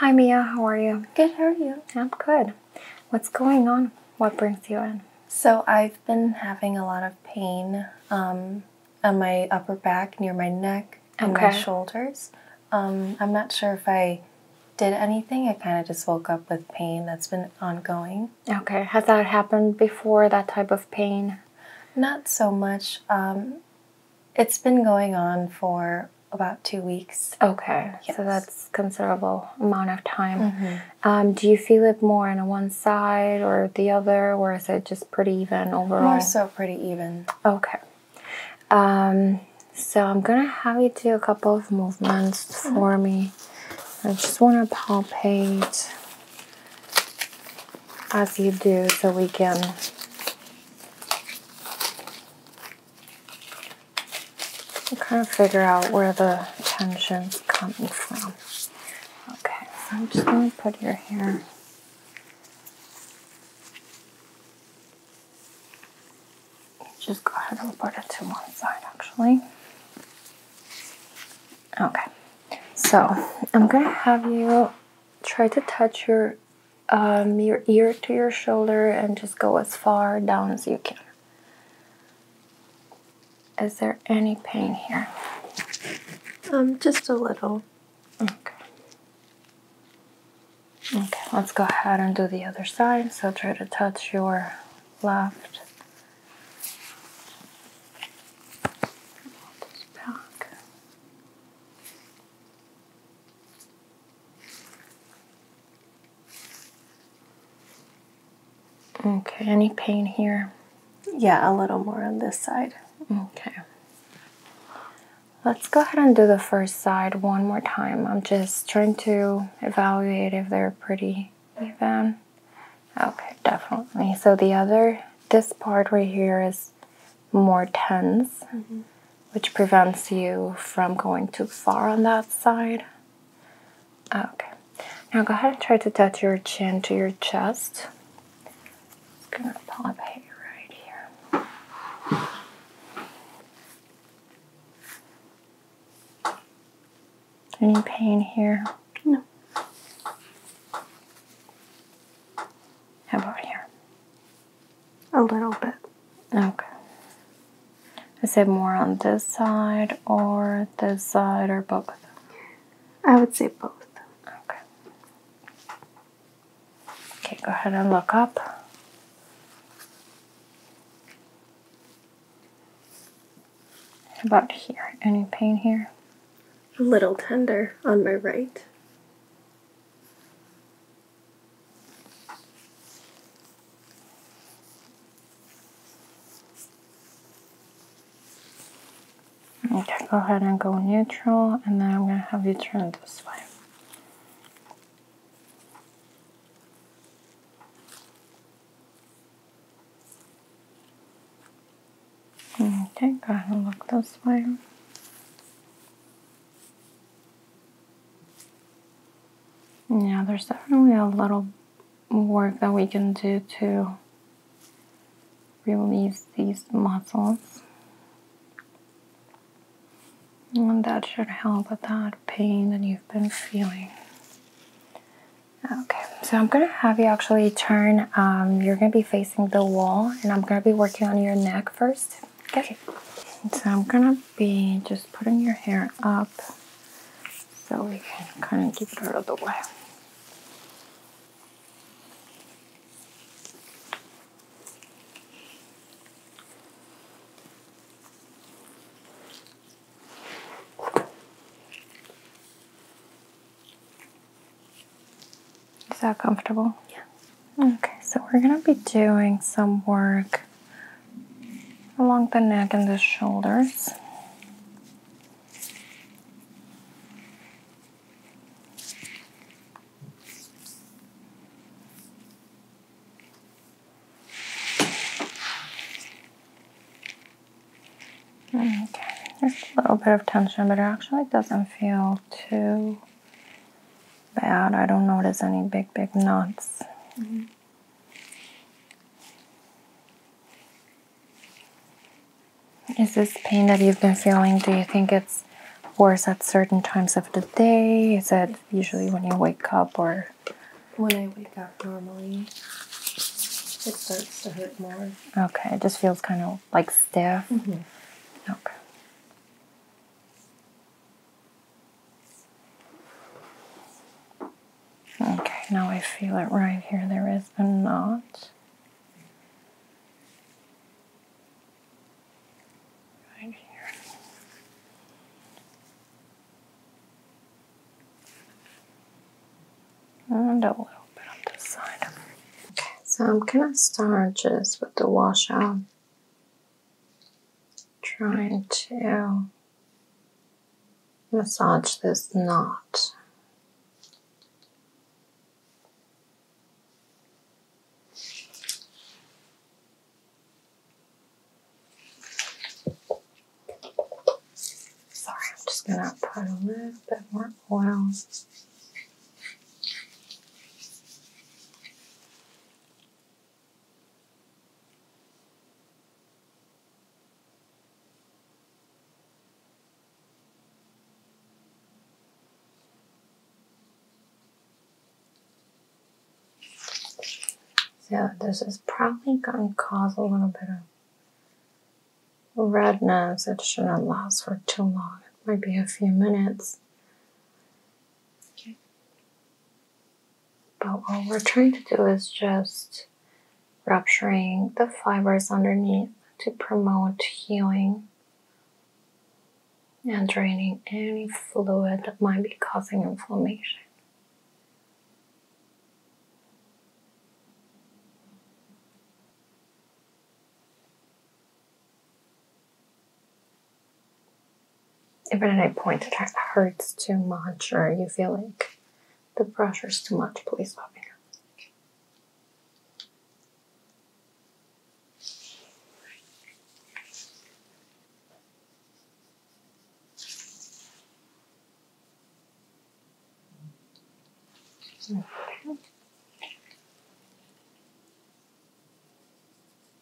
Hi Mia, how are you? Good, how are you? I'm good. What's going on? What brings you in? So I've been having a lot of pain um, on my upper back, near my neck, and my shoulders. Um, I'm not sure if I did anything. I kind of just woke up with pain that's been ongoing. Okay. Has that happened before, that type of pain? Not so much. Um, it's been going on for about two weeks. Okay, so that's considerable amount of time. Mm-hmm. Um, do you feel it more on one side or the other, or is it just pretty even overall? More so, pretty even. Okay. Um, so I'm gonna have you do a couple of movements for me. I just want to palpate as you do, so we can Kind of figure out where the tension's coming from. Okay, I'm just going to put your hair. Just go ahead and put it to one side actually. Okay, so I'm going to have you try to touch your um, your ear to your shoulder and just go as far down as you can. Is there any pain here? Um, just a little. Okay. Okay, let's go ahead and do the other side. So try to touch your left. Back. Okay, any pain here? Yeah, a little more on this side. Okay. Let's go ahead and do the first side one more time. I'm just trying to evaluate if they're pretty even. Okay, definitely. So the other, this part right here is more tense, mm-hmm. which prevents you from going too far on that side. Ah, okay, now go ahead and try to touch your chin to your chest. It's gonna pop hair right here. Any pain here? No. How about here? A little bit. Okay. I it more on this side or this side or both? I would say both. Okay. Okay, go ahead and look up. How about here? Any pain here? A little tender on my right. Okay, go ahead and go neutral, and then I'm going to have you turn this way. Okay, go ahead and look this way. Yeah, there's definitely a little work that we can do to release these muscles. And that should help with that pain that you've been feeling. Okay, so I'm gonna have you actually turn, um, you're gonna be facing the wall, and I'm gonna be working on your neck first. Okay. So I'm gonna be just putting your hair up so we can kind of keep it out of the way. Is that comfortable? Yeah. Okay, so we're going to be doing some work along the neck and the shoulders. Okay, there's a little bit of tension, but it actually doesn't feel too Bad. I don't notice any big, big knots. Mm-hmm. Is this pain that you've been feeling, do you think it's worse at certain times of the day? Is it usually when you wake up or? When I wake up normally, it starts to hurt more. Okay, it just feels kind of like stiff. Mm-hmm. Okay. Okay, now I feel it right here. There is a knot. Right here. And a little bit on this side. Okay, so I'm gonna start just with the washout trying to massage this knot. Sorry, I'm just going to put a little bit more oil so this is probably going to cause a little bit of redness. It shouldn't last for too long. It might be a few minutes. But what we're trying to do is just rupturing the fibers underneath to promote healing and draining any fluid that might be causing inflammation. If at any point it hurts too much or you feel like the pressure is too much, please stop me Okay.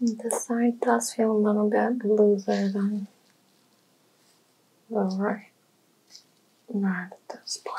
The side does feel a little bit looser than the right, right at this point.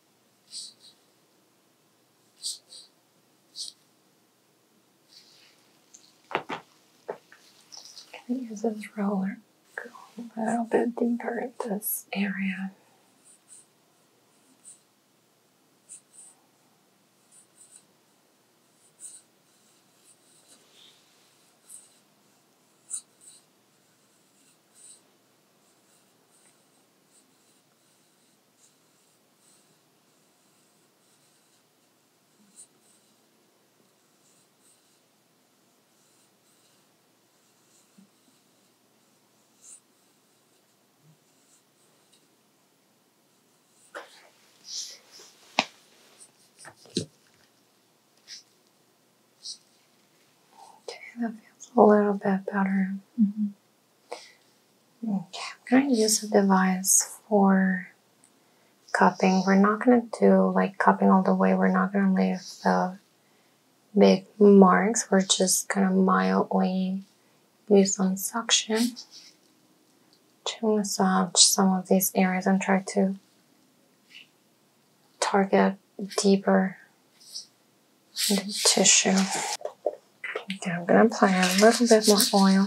Can I use this roller? Go a little bit deeper in this area. Okay, that feels a little bit better. Mm-hmm. Okay, I'm going to use a device for cupping. We're not going to do like cupping all the way. We're not going to leave the big marks. We're just going to mildly use some suction to massage some of these areas and try to target deeper and the tissue. I'm going to apply a little bit more oil.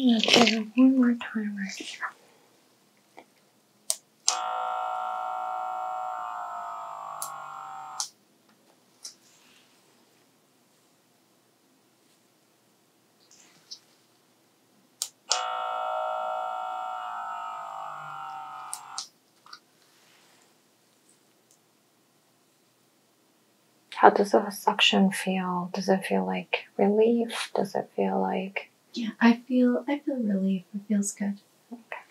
I'm gonna do it one more time right here. How does the suction feel? Does it feel like relief? Does it feel like Yeah, I feel I feel relief. It feels good. Okay.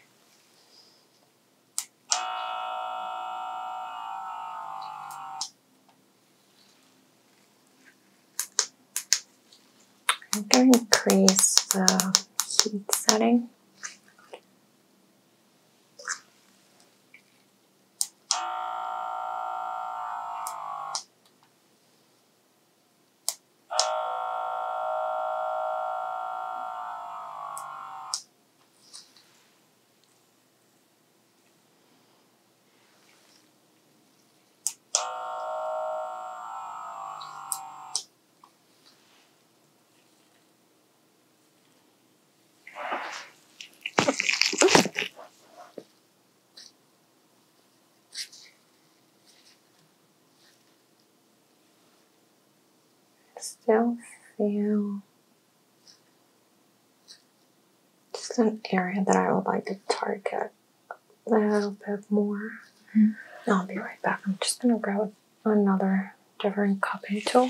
I'm going to increase the heat setting. Still feel just an area that I would like to target a little bit more. Mm-hmm. I'll be right back. I'm just gonna grab another different cupping tool.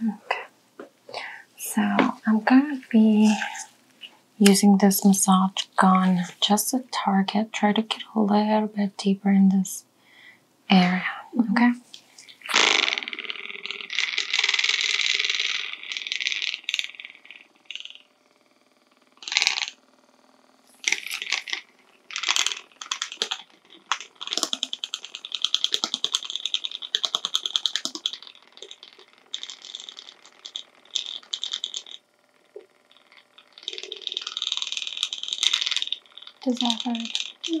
Okay. So I'm gonna be using this massage gun just to target. Try to get a little bit deeper in this area. Mm-hmm. Okay. Is that hard? Yeah.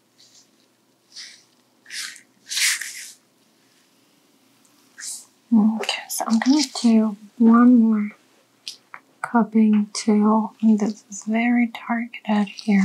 Okay, so I'm gonna do one more cupping too. This is very targeted here.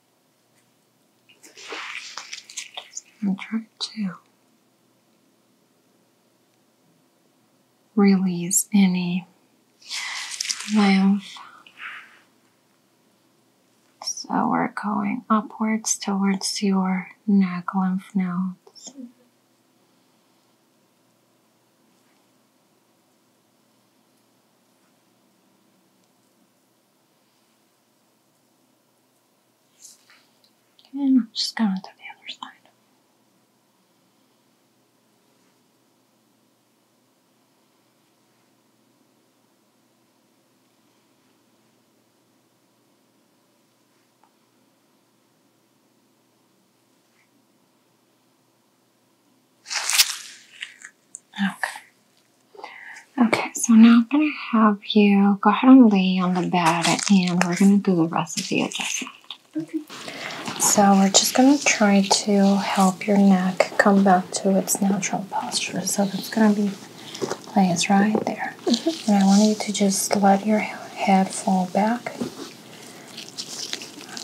And try to release any lymph. So we're going upwards towards your neck lymph nodes. And I'm just going to the other side. Okay. Okay, so now I'm going to have you go ahead and lay on the bed and we're going to do the rest of the adjustment. Okay. So we're just going to try to help your neck come back to its natural posture. So that's going to be placed right there. Mm-hmm. And I want you to just let your head fall back.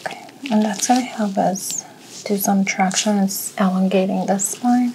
Okay. And that's going to help us do some traction. It's elongating the spine.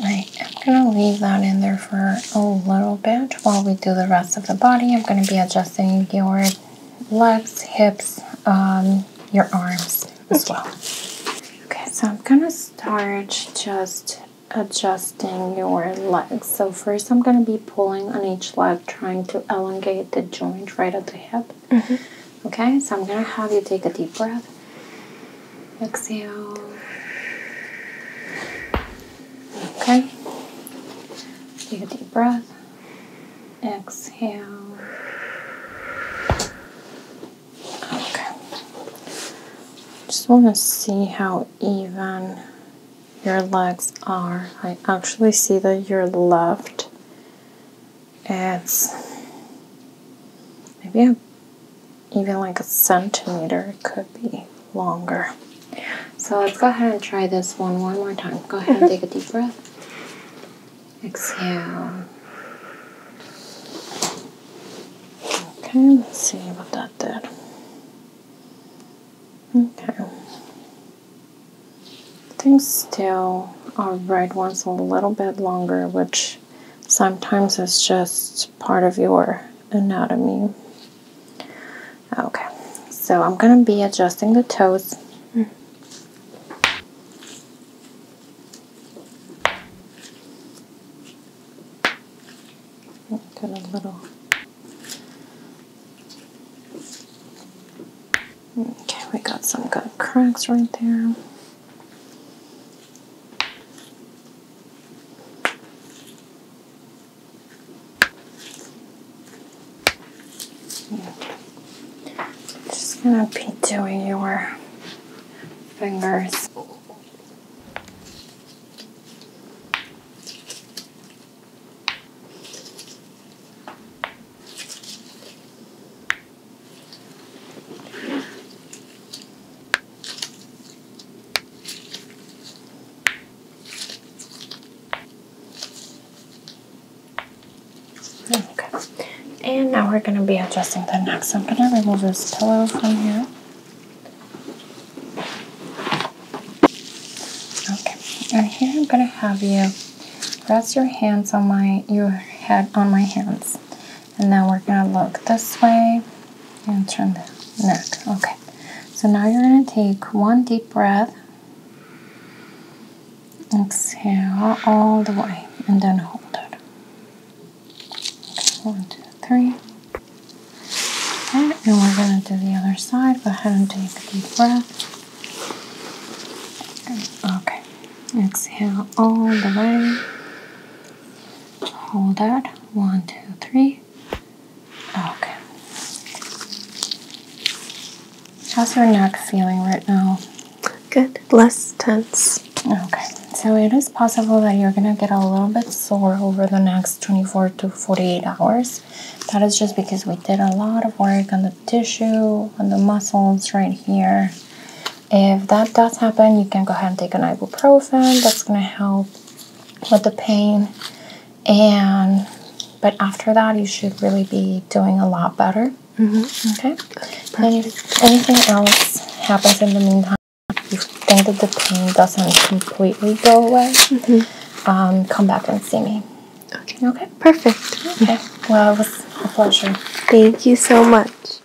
I'm gonna leave that in there for a little bit while we do the rest of the body. I'm gonna be adjusting your legs, hips, um, your arms as well. Okay, so I'm gonna start just adjusting your legs. So first I'm going to be pulling on each leg, trying to elongate the joint right at the hip. Mm-hmm. Okay, so I'm going to have you take a deep breath Exhale. Okay. Take a deep breath. Exhale. Okay. Just want to see how even your legs are. I actually see that your left it's maybe a even like a centimeter, it could be longer. So let's go ahead and try this one one more time. Go ahead and mm-hmm. take a deep breath. Exhale. Okay, let's see what that did. Okay. Things still our right one's a little bit longer, which sometimes is just part of your anatomy. Okay, so I'm gonna be adjusting the toes. Got a little. Okay, we got some good cracks right there. Yeah. Just gonna be doing your fingers. Okay, and now we're going to be adjusting the neck. So I'm going to remove this pillow from here. Okay, and here I'm going to have you rest your hands on my your head on my hands. And now we're going to look this way and turn the neck. Okay. So now you're going to take one deep breath. Exhale all the way and then hold it. one, two, three. Okay, and we're going to do the other side. Go ahead and take a deep breath. Okay, exhale all the way hold that one two three okay how's your neck feeling right now good less tense okay so it is possible that you're gonna get a little bit sore over the next 24 to 48 hours that is just because we did a lot of work on the tissue on the muscles right here if that does happen, you can go ahead and take an ibuprofen. That's going to help with the pain. And but after that, you should really be doing a lot better. Mm-hmm. Okay. and anything else happens in the meantime, you think that the pain doesn't completely go away, mm-hmm. um, come back and see me. Okay. Perfect. Okay. Well, it was a pleasure. Thank you so much.